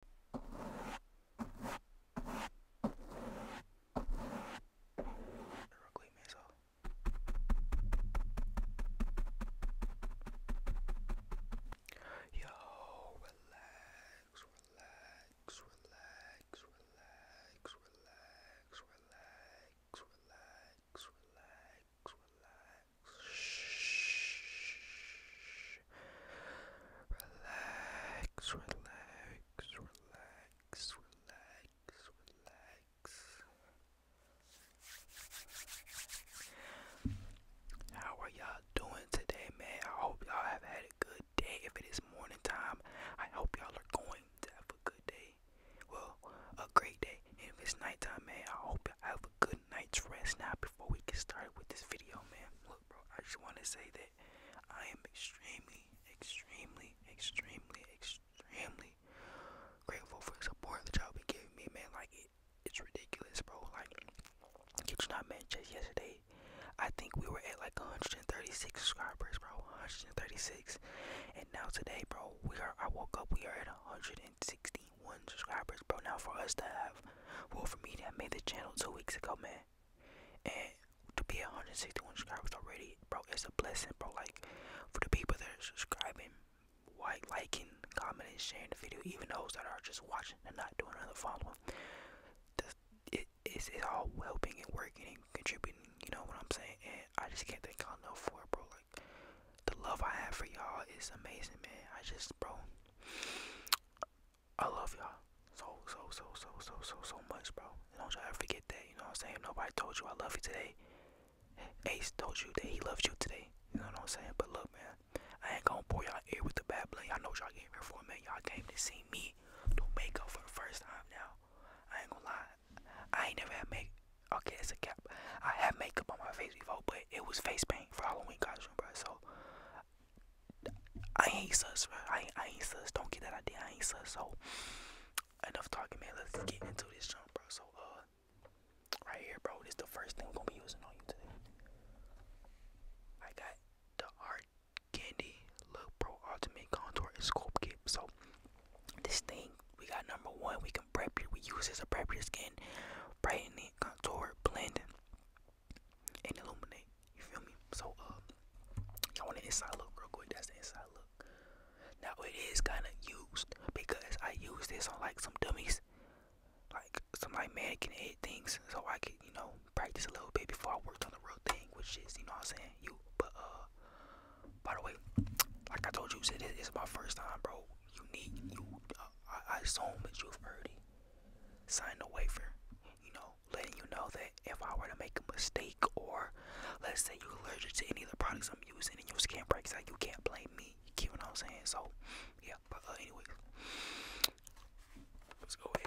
Rogue Mesa. relax, relax, relax, relax, relax, relax, relax, relax, relax. Shh. Relax, relax, relax, relax, relax. How are y'all doing today, man? I hope y'all have had a good day. If it is morning time, I hope y'all are going to have a good day. Well, a great day. if it's nighttime, man, I hope y'all have a good night's rest now before we get started with this video, man. Look, bro, I just want to say that I am extremely, extremely, extremely, extremely grateful for the support that y'all be giving me, man. Like, it, it's ridiculous, bro. Like, did you not man just yesterday? I think we were at like 136 subscribers, bro. 136. And now today, bro, we are I woke up, we are at 160 91 subscribers, bro. Now for us to have, well, for me to made the channel two weeks ago, man, and to be 161 subscribers already, bro, it's a blessing, bro. Like for the people that are subscribing, like, liking, commenting, sharing the video, even those that are just watching and not doing another follow, the, it's, it's all helping and working and contributing. You know what I'm saying? And I just can't thank y'all enough for it, bro. Like the love I have for y'all is amazing, man. I just, bro, I love y'all so so so so so so so much, bro. Don't y'all ever forget that. You know what I'm saying? Nobody told you I love you today. Ace told you that he loves you today. You know what I'm saying? But look, man, I ain't gonna bore y'all here with the bad blood. I know y'all came here for, man. Y'all came to see me do makeup for the first time now. I ain't gonna lie. I ain't never had make. Okay, it's a cap. I had makeup on my face before, but it was face paint for Halloween costume, bro. So I ain't sus, bro. I ain't, I ain't sus. Don't get that idea. I ain't sus. So enough talking, man. Let's get into this jump, bro. So uh, right here, bro. This is the first thing we're gonna be using on you today. I got the Art Candy Look Pro Ultimate Contour and Sculpt Kit. So this thing, we got number one. We can prep it. We use it as a prep your skin, brighten it, contour, blend and illuminate. You feel me? So uh, I want an inside look real quick. That's the inside look. Now it is kind of used because I use this on like some dummies, like some like can head things, so I could you know practice a little bit before I work on the real thing, which is you know what I'm saying you. But uh, by the way, like I told you, it is my first time, bro you need you. I, I assume that you've already Sign the waiver. You know, letting you know that if I were to make a mistake, or let's say you're allergic to any of the products I'm using and you can't breaks out, you can't blame me. You get what I'm saying? So, yeah. But uh, let's go ahead.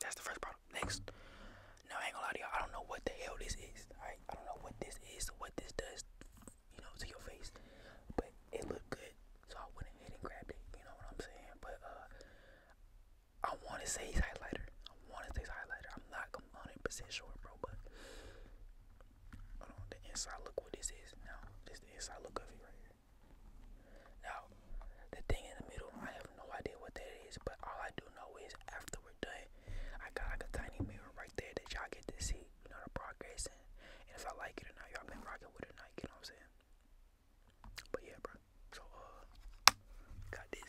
That's the first problem. Next. Now, I ain't gonna lie to y'all. I don't know what the hell this is. Alright, I don't know what this is, what this does, you know, to your face. But it looked good, so I went ahead and grabbed it. You know what I'm saying? But uh, I want to say it's highlighter. I want to say it's highlighter. I'm not 100% sure, bro. But on, the inside look what this is now. This the inside look of it now, the thing in the middle, I have no idea what that is, but all I do know is after we're done, I got like a tiny mirror right there that y'all get to see, you know, the progress and, and if I like it or not, y'all been rocking with it not, you know what I'm saying? But yeah, bro. So, uh, got this.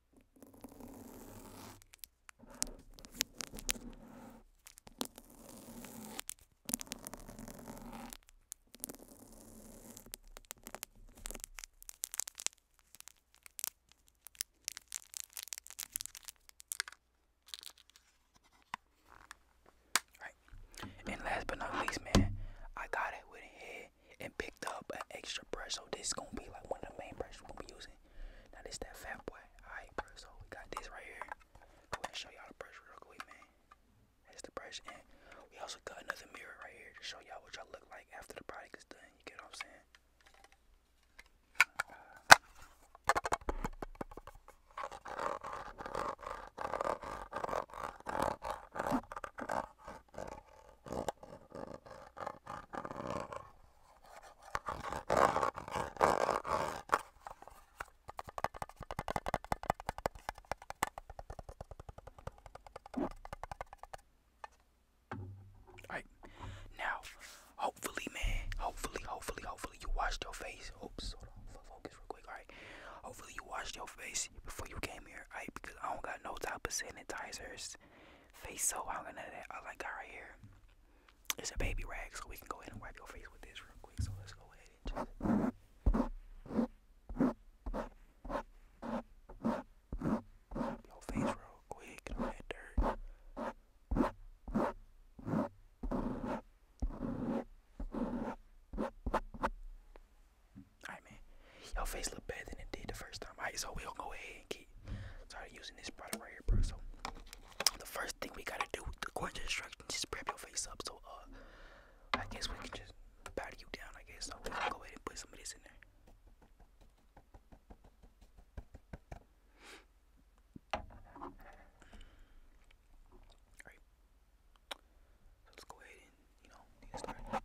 And last but not least, man, I got it with a head and picked up an extra brush. So this is gonna be like one of the main brushes we're gonna be using. Now this that fat boy. Alright, bro. So we got this right here. Go ahead show y'all the brush real quick, man. That's the brush, and we also got another mirror right here to show y'all what y'all look like after the product is done. You get what I'm saying? Alright, now hopefully, man, hopefully, hopefully, hopefully you washed your face. Oops, hold on, focus real quick. Alright, hopefully you washed your face before you came here, I Because I don't got no type of sanitizers, face so I am gonna none of that. All I got right here is a baby rag, so we can go ahead and wipe your face with this real quick. So let's go ahead and just. Your face real quick, get all dirt. Alright, man. Your face look better than it did the first time. Alright, so we gonna go ahead and get started using this product right here, bro. So the first thing we gotta do, according to instructions, is prep your face up. So uh, I guess we can just powder you down. I guess so. We going go ahead and put some of this in there. So let's go ahead and, you know, get started.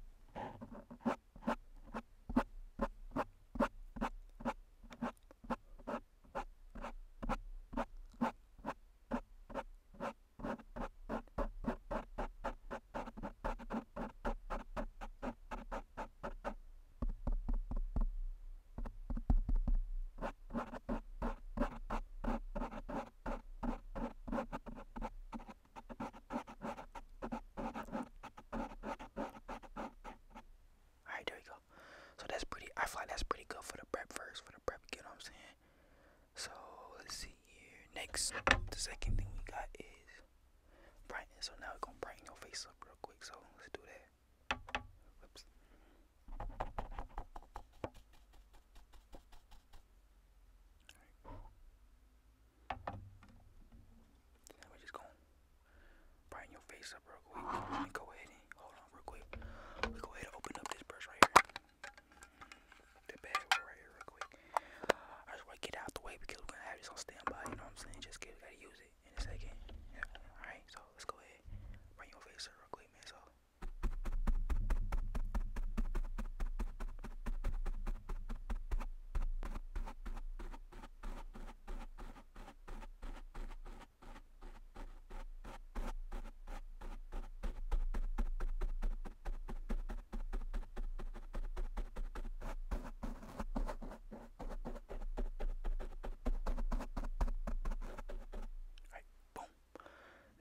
Alright, there we go. So that's pretty, I feel like that's pretty good for the prep first, for the prep, you know what I'm saying? So let's see here. Next, the second thing we got is brightness. So now we're gonna brighten your face up real quick. So let's do that. Oops. Alright. So just going brighten your face up real quick. go ahead hold on real quick. go ahead and open up this brush right here. The bag right here real quick. I just wanna get out the way because we're gonna have this on standby, you know what I'm saying? Just get gotta use it in a second. Alright, so let's go ahead. Bring your face up real quick, man. So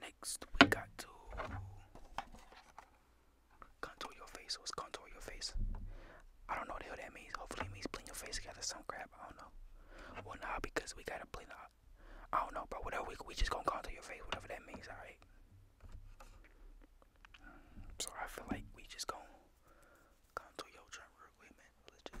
Right, boom we got to contour your face. What's contour your face? I don't know what the hell that means. Hopefully it means blend your face together some crap. I don't know. Well nah because we gotta blend up. I don't know, but Whatever we we just gonna contour your face, whatever that means, alright. Mm, so I feel like we just gonna contour your jump real quick, man. Let's just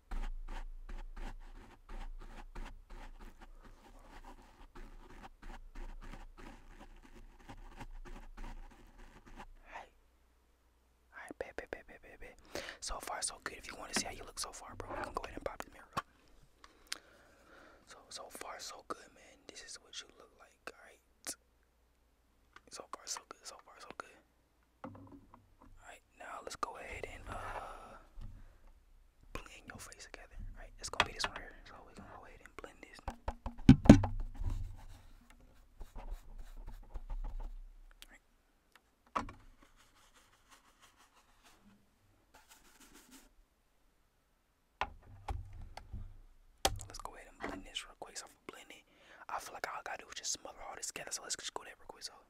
Hi. Hi, babe, babe, babe, babe, babe. So far, so good. If you want to see how you look so far, bro, you can go ahead and pop the mirror So, so far, so good, man. This is what you look like, alright? So far, so good. So far, so good. Alright, now let's go ahead and uh blend your face together. Alright, it's gonna be this one here. So we're gonna go ahead and blend this. Right. Let's go ahead and blend this real quick. So I'm I feel like I gotta do just smother all this together. So let's just go there real quick. So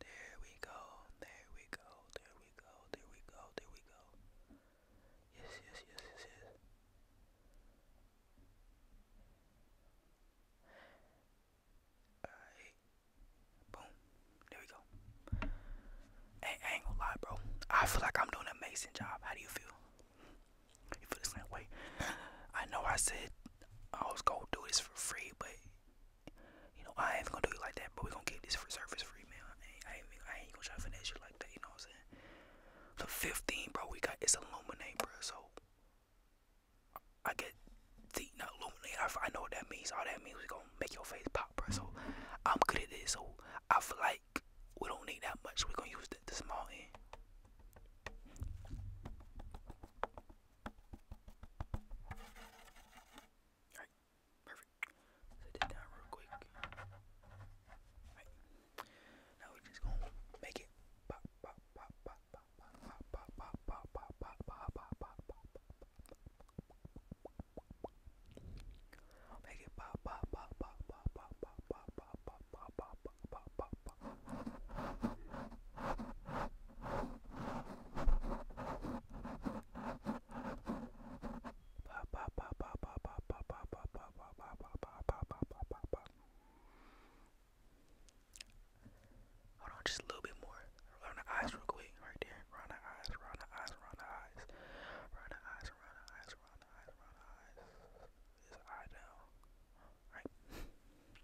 There we go, there we go, there we go, there we go, there we go. Yes, yes, yes, yes, yes. Alright. Boom. There we go. Hey, I ain't gonna lie, bro. I feel like I'm doing an amazing job. How do you feel? You feel the same way? I know I said I was gonna do this for free, but you know, I ain't gonna do it like that, but we gonna get this for service free, man. I ain't, gonna try to finesse you like that, you know what I'm saying? The 15, bro, we got it's illuminate, bro. So I get the not illuminate. I, I know what that means. All that means is gonna make your face pop, bro. So I'm good at this. So I feel like we don't need that much. we gonna use the, the small end. Alright, perfect. Set it down real quick. Alright. Now we just gonna make it pop pop pop pop pop pop pop pop pop pop pop pop pop pop pop Make it pop pop pop pop pop pop pop pop pop pop pop pop pop pop pop Hold on, just a little bit more. Around the eyes, real quick, right there. Around the eyes, around the eyes, around the eyes, around the eyes, around the eyes, around the eyes, around the eyes. This eye down, right?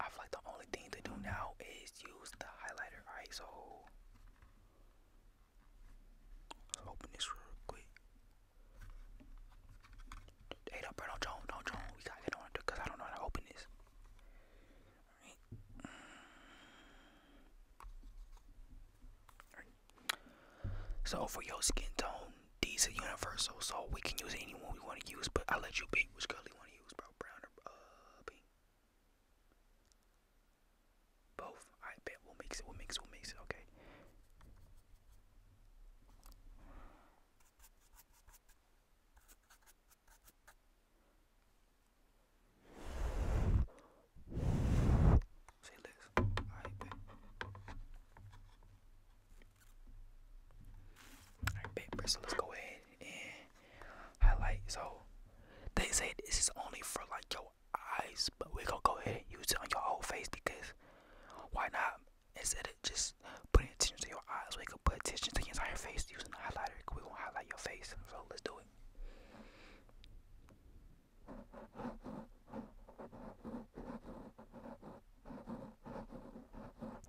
I feel like the only thing to do now is use the highlighter. Alright, so let's open this real quick. Hey, don't, bro, don't jump, don't jump. We gotta on because I don't know how to open this. So for your skin tone, these are universal, so we can use anyone we want to use. But I'll let you pick which color you want to. Uh, Both. I bet we'll mix it. We'll mix it. We'll mix it. Okay. Say less. I bet. Alright, big let's go ahead and highlight. So they say this is only for like your eyes, but we're gonna go ahead and use it on your whole face because why not? Instead of just putting attention to your eyes, we can put attention to your entire face using the highlighter. we gonna highlight your face. So let's do it.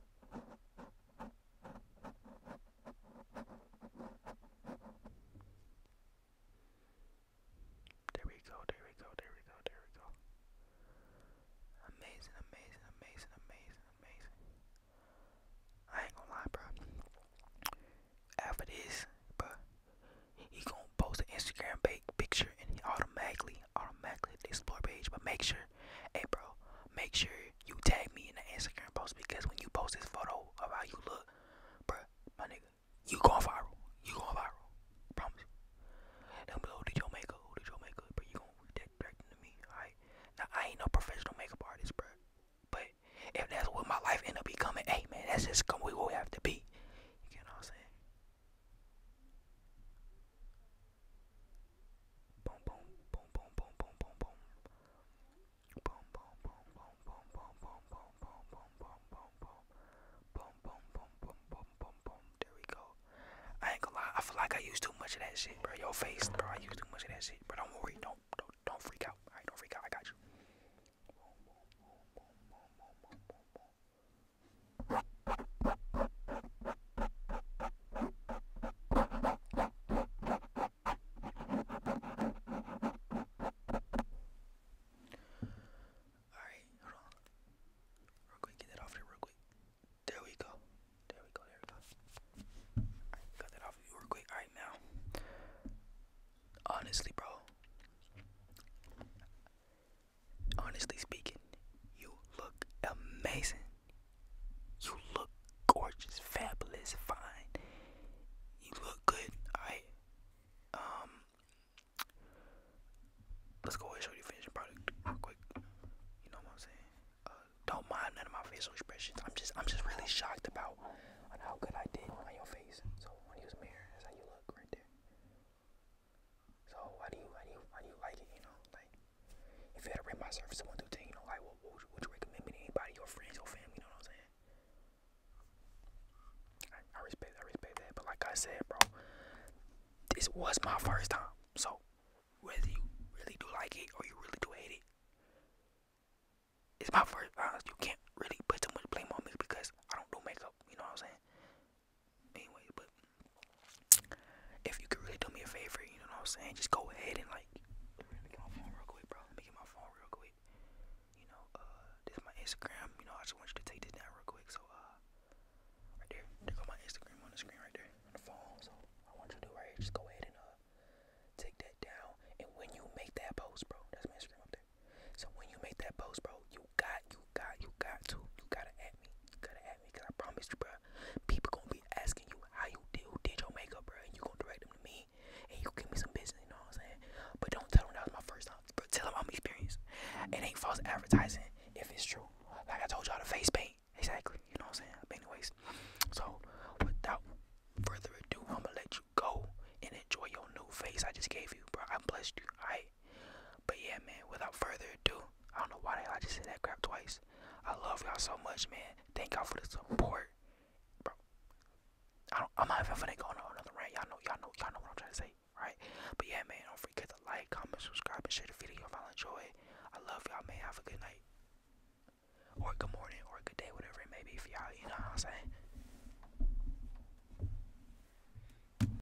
There we go, there we go, there we go, there we go. Amazing, amazing, amazing, amazing, amazing. I ain't gonna lie, bro. After this, bro, he gonna post an Instagram big picture and he automatically, automatically the explore page. But make sure Hey, bro, make sure you tag me in the Instagram post because when you post this photo of how you look, bro, my nigga, you going viral. You going viral. I promise you. Down below, did your makeup? Who did your makeup? But you gonna read that to me, alright? Now, I ain't no professional makeup artist, bro. But if that's what my life end up becoming, hey, man, that's just what we will have to be. You get what I'm saying? Boom, boom, boom, boom, boom, boom, boom, boom. Boom, boom, boom, boom, boom, boom, boom, boom, boom, boom, boom, boom, boom. Boom, boom, boom, boom, boom, boom, boom. There we go. I ain't gonna lie. I feel like I use too much of that shit, bro. Your face, bro. I use too much of that shit. But don't worry. Don't, don't, don't freak out. All right, don't freak out. I got you. Boom, boom, boom, boom, boom, boom, boom, boom. Alright, hold on. Real quick, get that off here real quick. There we go. There we go, there we go. Alright, got that off of you real quick. Alright now. Honestly, bro honestly speaking, you look amazing. You look gorgeous, fabulous, fine. You look good. Alright. Um let's go ahead and show you finishing product real quick. You know what I'm saying? Uh, don't mind none of my facial expressions. I'm just I'm just really shocked about how good I did on your face. So when you was mirror, that's how you look right there. So why do you why do why do you like it? You know, like if you had to rate my service to take, you know, like what, would, you, would you recommend me to anybody, your friends, your family? You know what I'm saying? I, respect I respect that, but like I said, bro, this was my first time. So whether you really do like it or you really do hate it, it's my first. Honest, you can't really put too much blame on me because I don't do makeup. You know what I'm saying? anyway, but if you could really do me a favor, you know what I'm saying? Just go ahead and like let me get my phone real quick, bro. Let me get my phone real quick. You know, uh this is my Instagram, you know, I just want you to take this down real quick. So uh right there. There go my Instagram on the screen right there on the phone. So I want you to do right here, just go ahead and uh take that down. And when you make that post, bro, that's my Instagram up there. So when you make that post, bro, you got you got you got to you gotta at me. You gotta at me because I promised you, bro. People gonna be asking you how you did who did your makeup, bro, and you gonna direct them to me and you give me some business, you know what I'm saying? But don't tell them that was my first time. But tell them I'm experienced. It ain't false advertising if it's true. Like I told y'all the face paint. Exactly. You know what I'm saying? anyways, so without further ado, I'ma let you go and enjoy your new face I just gave you, bro. I blessed you. I. But yeah, man, without further ado, I don't know why I just said that crap twice. I love y'all so much, man. Thank y'all for the support. Bro, I am not even finna go on another rant. Y'all know, y'all know, y'all know what I'm trying to say, right? But yeah, man, don't forget to like, comment, subscribe, and share the video if y'all enjoy I love y'all, man. Have a good night. Or good morning, or good day, whatever it may be for y'all. You know what I'm saying?